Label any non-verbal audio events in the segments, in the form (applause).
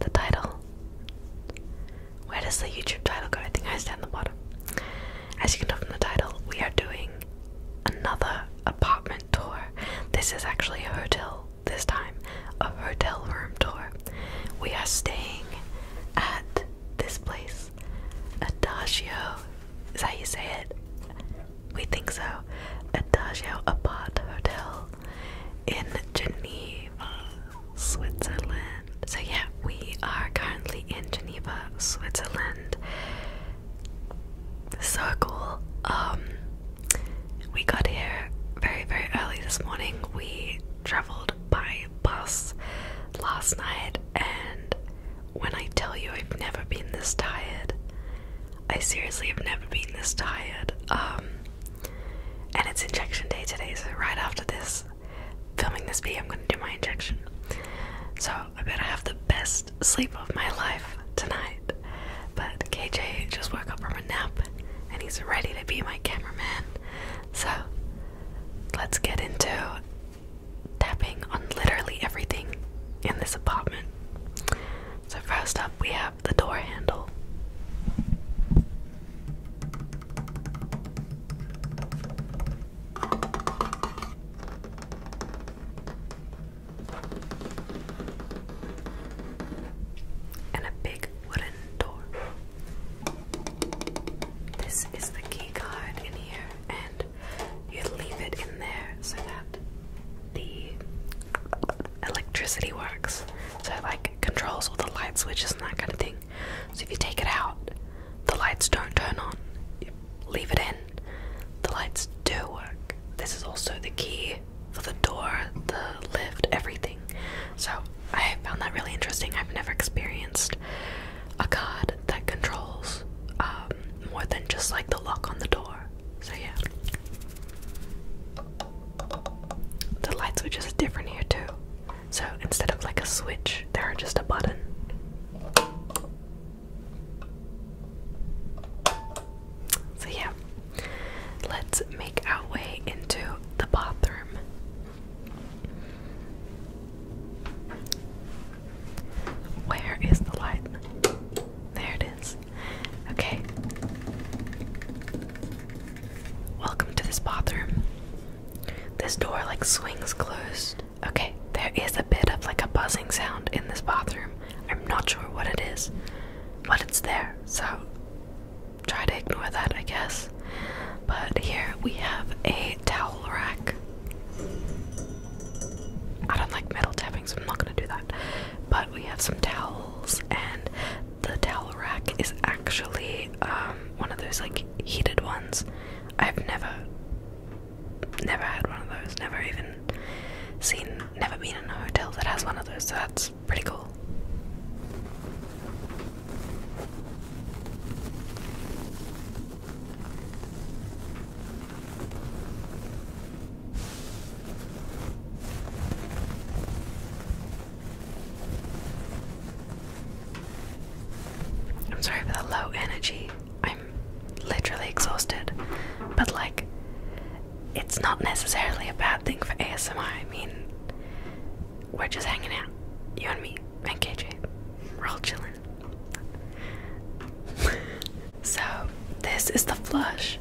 the title. Where does the YouTube title go? I think I stand the bottom. As you can tell from the title, we are doing another apartment tour. This is actually a hotel this time, a hotel room tour. We are staying at this place, Adagio. Is that how you say it? We think so. Adagio Apart Hotel in Geneva, Switzerland. So, yeah, we are currently in Geneva, Switzerland. So cool. Um, we got here very, very early this morning. We traveled by bus last night, and when I tell you I've never been this tired, I seriously have never been this tired. Um, and it's injection day today, so right after this, filming this video, I'm gonna do my injection. So I better have the best sleep of my life tonight. But KJ just woke up from a nap and he's ready to be my cameraman. So let's get into tapping on literally everything in this apartment. So, first up, we have the door handle. And a big wooden door. This is the key card in here, and you leave it in there so that the electricity works. So it like controls all the light switches and that kind of thing. So if you take it out, the lights don't turn on. You leave it in, the lights do work. This is also the key for the door, the lift, everything. So I found that really interesting. I've never experienced a card that controls um, more than just like the lock on the door. So yeah. The light switch is different here too. So instead of like a switch, there are just a button. So yeah, let's make our way into the bathroom. Where is the light? There it is. Okay. Welcome to this bathroom. This door like swings closed. Okay, there is a bit of like a buzzing sound in this bathroom. I'm not sure what it is, but it's there, so try to ignore that, I guess. But here we have a towel rack. I don't like metal tapping, so I'm not gonna do that. But we have some towels, and the towel rack is actually um, one of those like heated ones. I've never, never had one of those. Never even seen. Never been in a hotel that has one of those. So that's pretty cool. I'm sorry for the low energy. I'm literally exhausted. But, like, it's not necessarily a bad thing for ASMR. I mean, we're just hanging out. You and me, and KJ. We're all chilling. (laughs) so, this is the flush.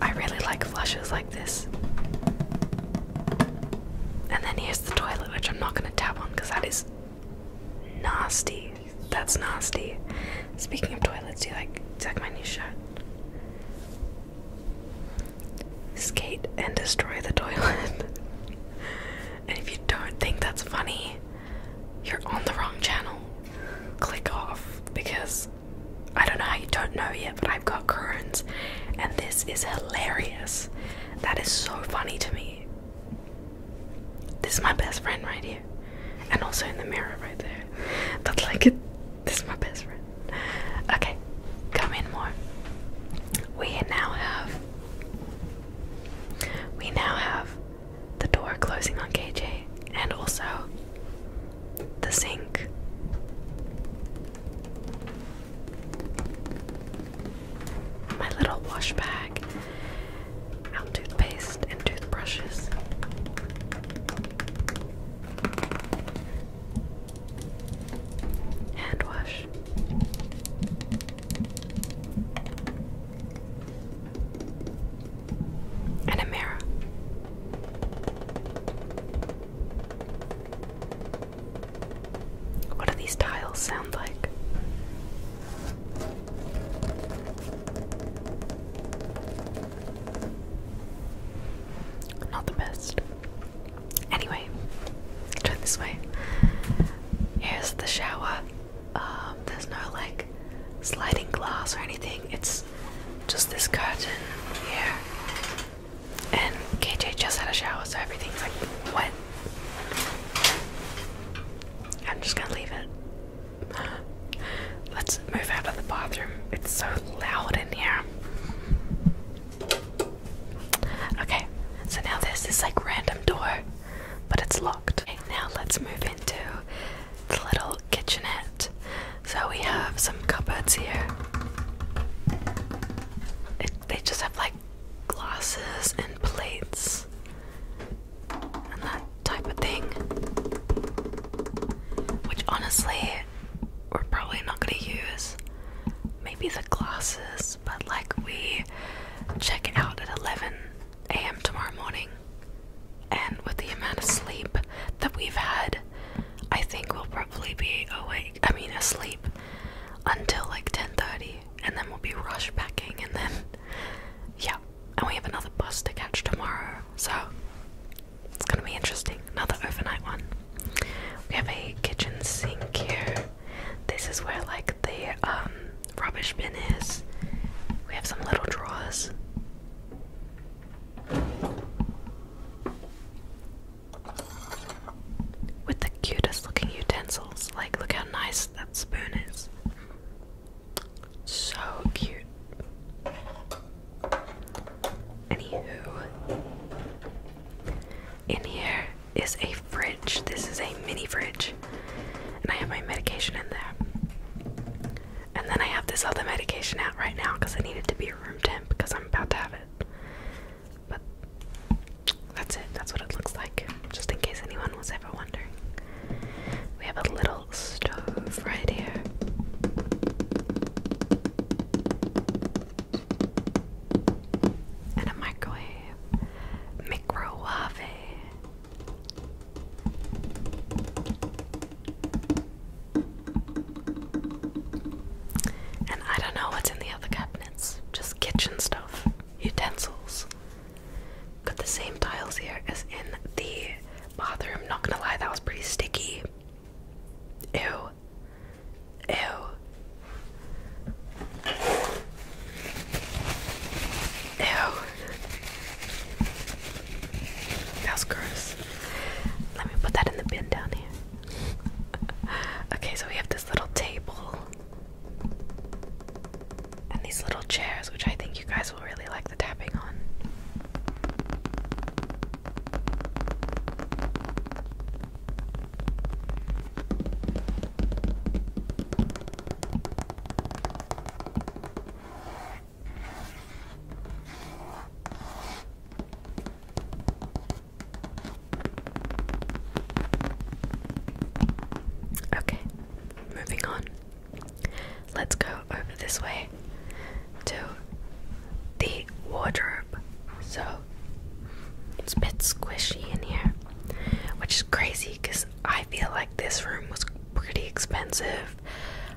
I really like flushes like this. And then here's the toilet, which I'm not going to tap on because that is nasty. That's nasty. Speaking of toilets, do you like, do like my new shirt? Skate and destroy the toilet. (laughs) and if you don't think that's funny, you're on the wrong channel. Click off because I don't know how you don't know yet, but I've got Crohn's, and this is hilarious. That is so funny to me. This is my best friend right here, and also in the mirror right there. That's like, it, (laughs) this is my best friend. Okay, come in more. We now have. We now have the door closing on KJ, and also the sink. My little wash bag, our toothpaste and toothbrushes. Hand wash. And a mirror. What do these tiles sound like? Not the best. Anyway, turn this way. Here's the shower. Um, there's no like sliding glass or anything. It's just this curtain here and KJ just had a shower, so everything's like wet. I'm just gonna leave it. Let's move out of the bathroom. It's so loud in here. Okay, so now this is like random door, but it's locked. Okay, now let's move into the little kitchenette. So we have some cupboards here. they just have like glasses and plates and that type of thing. Which honestly, we're probably not going to use. Maybe the glasses, but like we check it out at 11 a.m. tomorrow morning. And with the amount of sleep that we've had, I think we'll probably be awake I mean asleep until like 10:30 and then we'll be rush packing and then yeah and we have another bus to catch tomorrow so it's gonna be interesting another overnight one we have a kitchen sink here this is where like the um, rubbish bin is we have some little drawers with the cutest looking utensils. Like, look how nice that spoon is. So cute. Anywho, in here is a fridge. This is a mini fridge. And I have my medication in there. And then I have this other medication out right now because I need it to be room temp because I'm about to have it. But that's it. That's what it looks like. Just in case anyone was ever wondering. We have a little stove right here. And a microwave. Microwave. And I don't know what's in the other cabinets, just kitchen stuff, utensils. Got the same tiles here as in the bathroom. Not gonna lie, that was pretty sticky. Ew. Ew. Ew. That's gross. Let me put that in the bin down here. (laughs) okay, so we have this little table and these little chairs, which I think you guys will really like the tapping on. Okay, moving on. Let's go over this way to the wardrobe. So it's a bit squishy in here, which is crazy because I feel like this room was pretty expensive.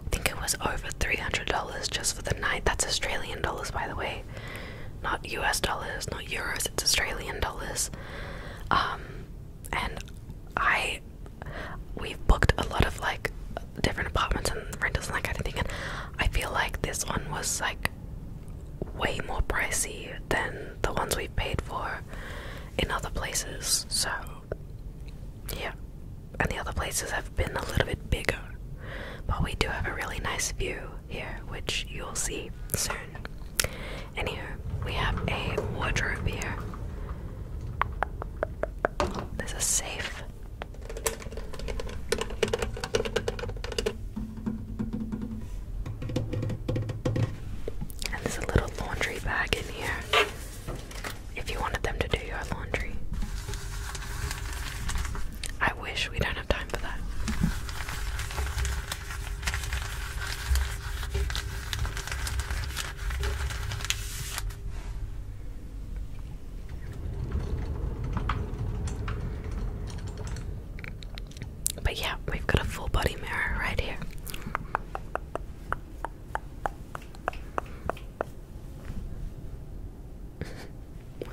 I think it was over $300 just for the night. That's Australian dollars, by the way not US dollars, not euros, it's Australian dollars. Um, and I, we've booked a lot of like different apartments and rentals and that kind of thing, and I feel like this one was like way more pricey than the ones we've paid for in other places. So, yeah. And the other places have been a little bit bigger, but we do have a really nice view here, which you'll see soon. And here we have a wardrobe here. There's a safe. And there's a little laundry bag in here if you wanted them to do your laundry. I wish we don't but yeah, we've got a full body mirror right here.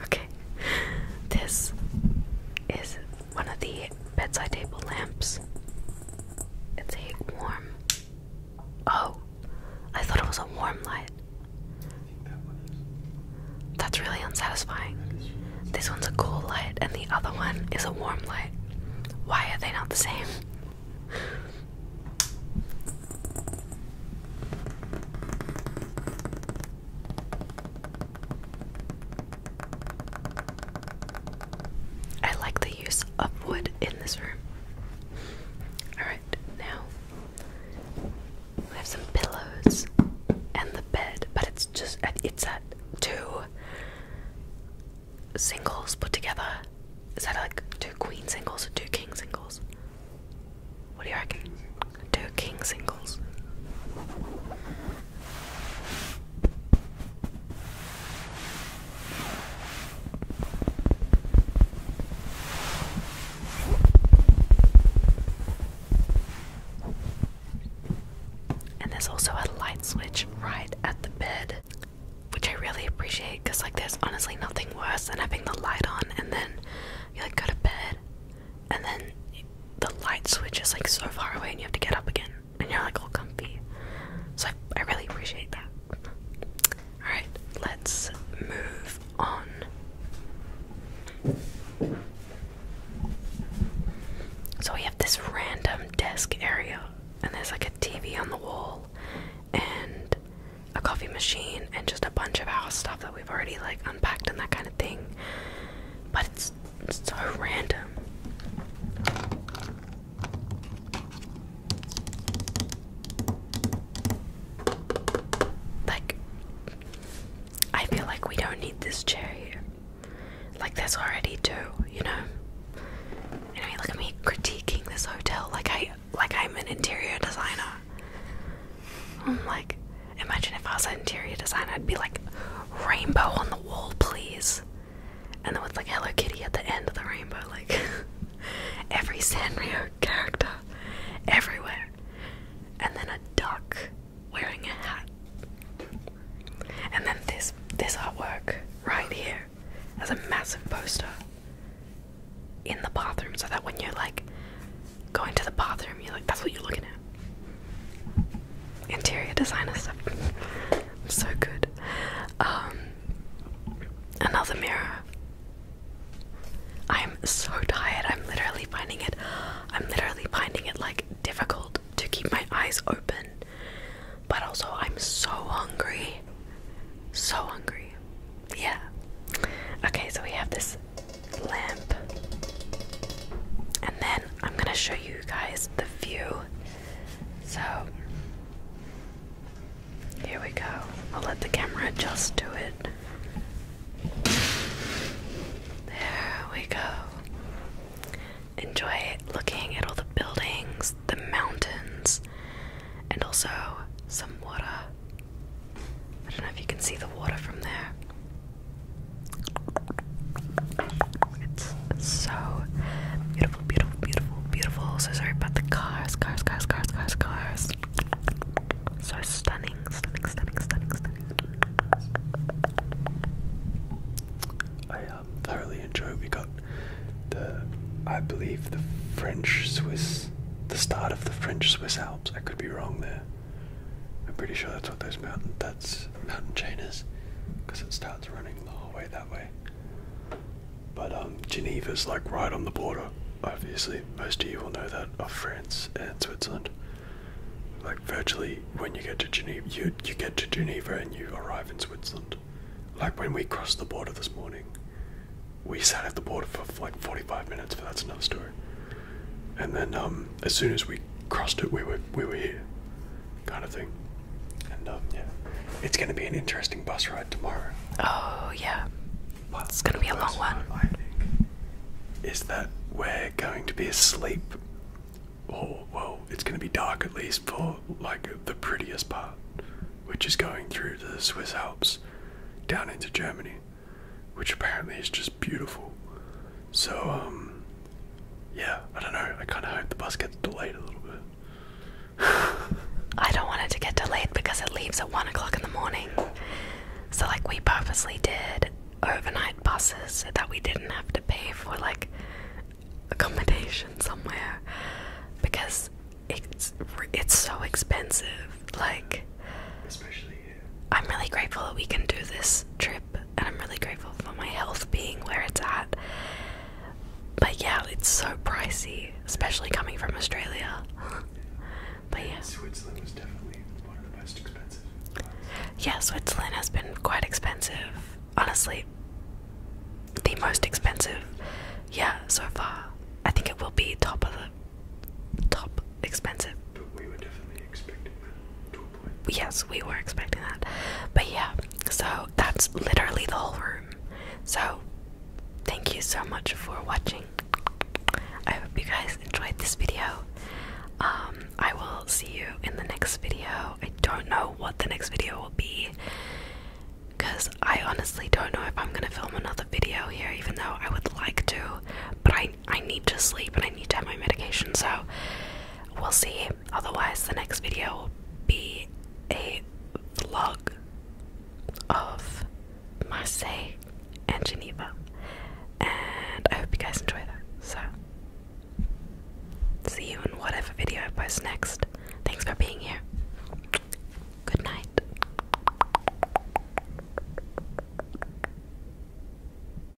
Okay. This is one of the bedside table lamps. It's a warm. Oh, I thought it was a warm light. That's really unsatisfying. This one's a cool light, and the other one is a warm light. Why are they not the same? I like the use of wood in this room. Alright, now we have some pillows and the bed, but it's just, it's at two singles put together. Is that like two queen singles two king singles? What do you reckon? Do king singles. And there's also a light switch right at the bed, which I really appreciate because, like, there's honestly nothing worse than having the light on and then you like go to bed and then the light switch is like so far away, and you have to get up again, and you're like all comfy. So I, really appreciate that. All right, let's move on. So we have this random desk area, and there's like a TV on the wall, and a coffee machine, and just a bunch of our stuff that we've already like unpacked and that kind of thing but it's, so random. Like, I feel like we don't need this chair here. Like, there's already two, you know. Anyway, look at me critiquing this hotel like I like I'm an interior designer like, imagine if I was an interior designer, I'd be like, rainbow on the wall, please. And then with like Hello Kitty at the end of the rainbow, like (laughs) every Sanrio character everywhere. And then a duck wearing a hat. And then this this artwork right here as a massive poster in the bathroom so that when you're like going to the bathroom, you're like, that's what you're looking at. Interior designer stuff. (laughs) so good. Um, another mirror. I'm so tired. I'm literally finding it. I'm literally finding it like difficult to keep my eyes open. But also, I'm so hungry. So hungry. Yeah. Okay, so we have this lamp. And then I'm going to show you guys the view. So here we go. I'll let the camera adjust to it. There we go. Enjoy looking at all the buildings, the mountains, and also some water. I don't know if you can see the water from there. It's so beautiful, beautiful, beautiful, beautiful. So sorry about the cars, cars, cars, cars, cars, cars. So stunning, stunning, stunning, stunning, stunning. I um, thoroughly enjoyed. We got the, I believe, the French Swiss, the start of the French Swiss Alps. I could be wrong there. I'm pretty sure that's what those mountain that's mountain chain is, because it starts running all the way that way. But um, Geneva's like right on the border. Obviously, most of you will know that of France and Switzerland. Like virtually, when you get to Geneva, you you get to Geneva and you arrive in Switzerland. Like when we crossed the border this morning, we sat at the border for like 45 minutes, but that's another story and then um, as soon as we crossed it, we were we were here, kind of thing. And um, yeah, it's going to be an interesting bus ride tomorrow. Oh yeah, it's going to be a long one. is that we're going to be asleep, or well, it's going to be dark at least for like the prettiest part, which is going through the Swiss Alps down into Germany, which apparently is just beautiful. So, um, yeah, I don't know. I kind of hope the bus gets delayed a little bit. (laughs) I don't want it to get delayed because it leaves at one o'clock in the morning. So, like, we purposely did overnight buses so that we didn't have to pay for like accommodation somewhere because it's it's so expensive. Like, especially I'm really grateful that we can do this trip, and I'm really grateful for my health being where it's at. But yeah, it's so pricey, especially coming from Australia. but yeah, Switzerland was definitely one of the most expensive. Ones. Yeah, Switzerland has been quite expensive, honestly. The most expensive, yeah, so far. I think it will be top of the top expensive. But we were definitely expecting that yes, we were expecting that. But yeah, so that's literally the whole room. So thank you so much for watching. I hope you guys enjoyed this video. Um, I will see you in the next video. I don't know what the next video will be because I honestly don't know if I'm gonna film another video here, even though I would like to. But I I need to sleep and I need to have my medication, so we'll see. Otherwise, the next video will be a vlog of Marseille and Geneva. And I hope you guys enjoy that. So, see you in whatever video I post next. Thanks for being here. Good night.